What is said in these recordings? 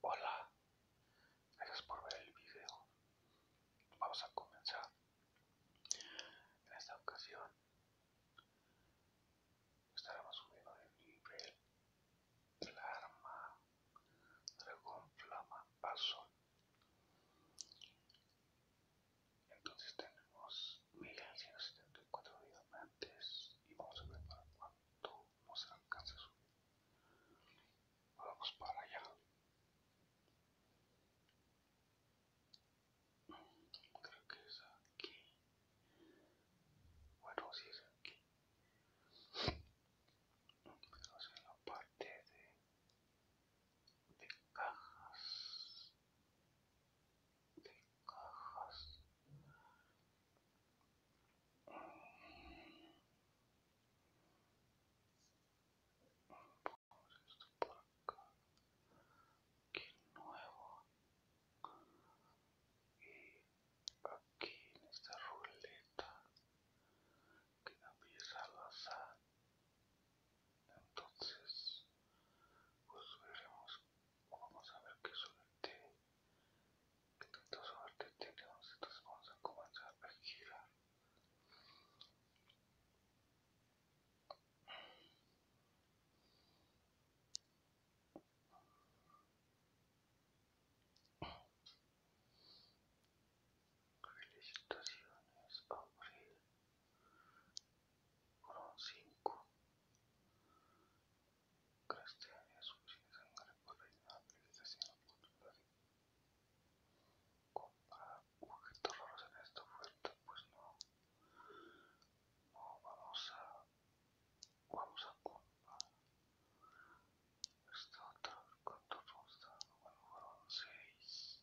Hola, gracias por ver el video. Vamos a comenzar. En esta ocasión estaremos subiendo el nivel del arma Dragón Flama Paso. Entonces tenemos 1174 días antes y vamos a ver para cuánto nos alcanza a subir. Vamos para allá. Creo que es aquí. Bueno, si es aquí. Pero es en la parte de, de cajas de cajas. Vamos esto por acá. nuevo. Y aquí en esta ruleta que empieza al azar entonces pues veremos vamos a ver qué suerte qué tanta suerte tenemos entonces vamos a comenzar a girar Felicitaciones, Abril. Corón 5 Cristian y Asunción de San Gregorio de Nápoles de Sinoportunidad Compar objetos raros en esta oferta Pues no Vamos a Vamos a comprar Esta otra ¿Cuántos robos Bueno, Corón 6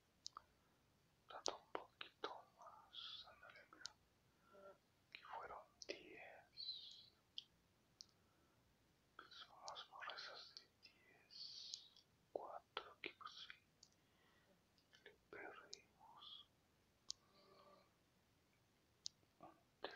Tanto un poquito más, andale mira, aquí fueron 10, son las morresas de 10, 4 equipos y le perdimos 3,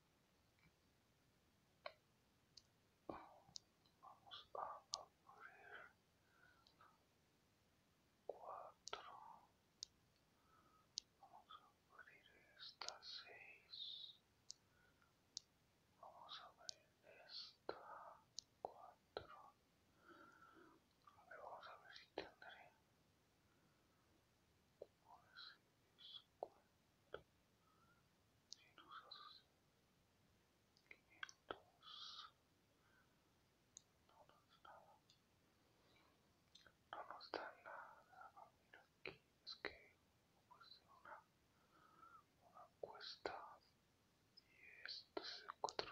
Vamos a abrir 4. Vamos a abrir esta 6. Vamos a abrir esta 4. Vamos a ver si tendré no nos da nada no nos da nada mira aquí es que pues, una cuesta y esto se cuatro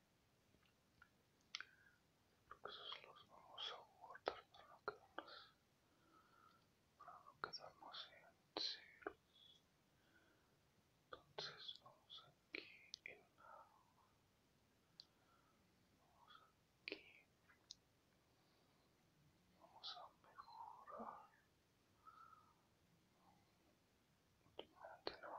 Creo esos los vamos a guardar para no quedarnos, en ceros. Entonces vamos aquí en una, vamos aquí, vamos a mejorar. Últimamente no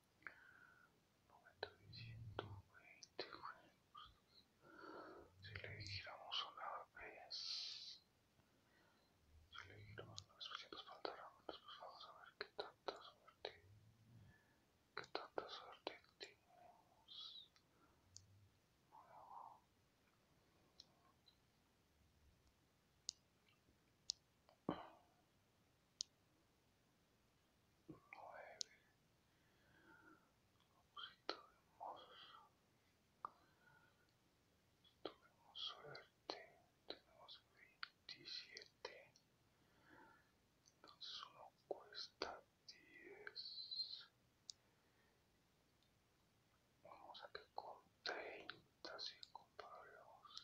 90 y juegos. Si le dijéramos una vez, si le dijéramos 900 vez, pues faltarán. Después vamos a ver qué tanta suerte, qué tanta suerte tenemos nueve objetos hermosos. Tuvimos suerte, tenemos 27. Entonces uno cuesta 10. Vamos a que con 30 si comparamos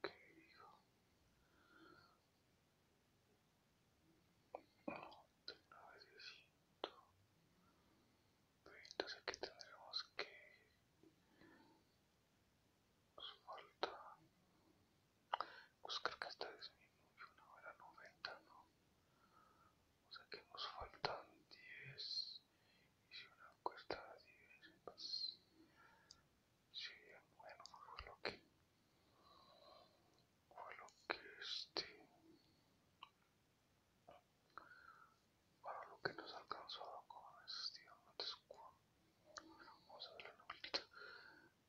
que dijo novecientos entonces aquí tendremos que nos falta pues creo que está disminuye una hora 90 no o sea que nos faltan 10 y si una cuesta 10 más. Sí, bueno, fue lo que... Fue lo que este... para lo que nos alcanzó con este... Vamos a ver la novelita.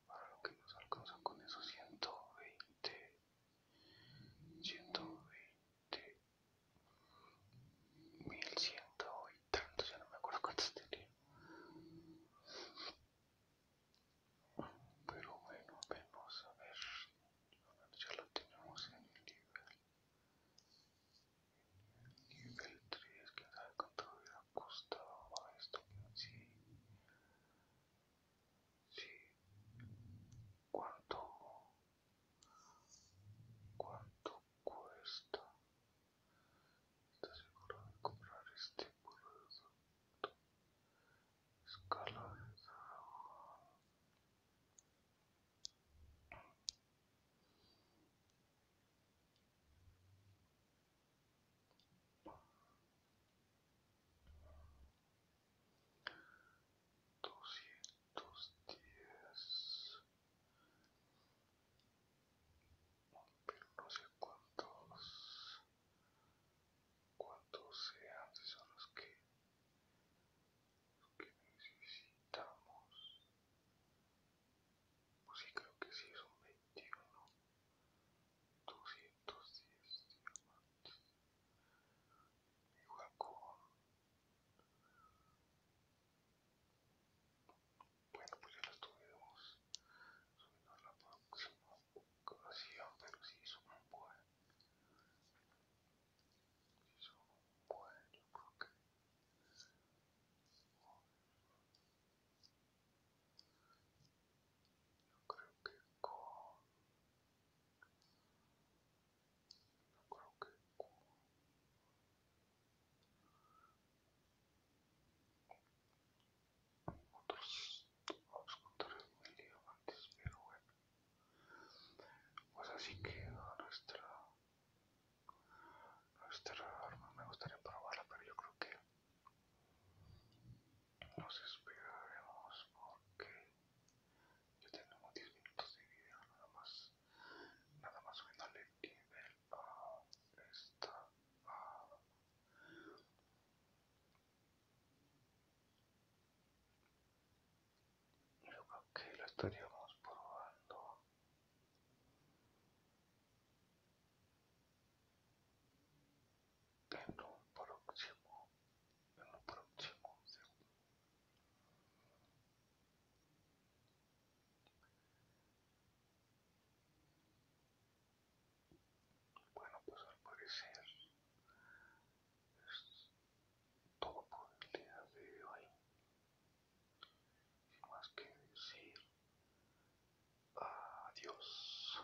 Para lo que nos alcanza con esos 120... 120 1100 y tanto, ya no me acuerdo cuánto tenía. Pero bueno, vamos a ver. Ya lo tenemos en el nivel. Nivel 3, que sabe cuánto hubiera costado esto. Sí. Sí. ¿Cuánto? ¿Cuánto cuesta? ¿Estás seguro de comprar este producto? Escala de trabajo. Doscientos dos días. Pero no sé cuántos, cuántos sean, son los que, los que necesitamos. Pues sí, creo que sí, son 21, 210 diamantes. Igual con bueno, pues ya lo tuvimos subiendo a la próxima ocasión, pero sí hizo un buen. Hizo un buen, yo creo que. Yo creo que con no creo que otros obstructores muy mil antes pero bueno pues así queda nuestra nuestra arma me gustaría probarla pero yo creo que nos esperaremos porque ya tenemos 10 minutos de video nada más nada más subiéndole el nivel a esta yo creo que lo estaríamos probando en un próximo en próximo Bueno, pues al parecer es todo por el día de hoy. Sin más que decir, adiós.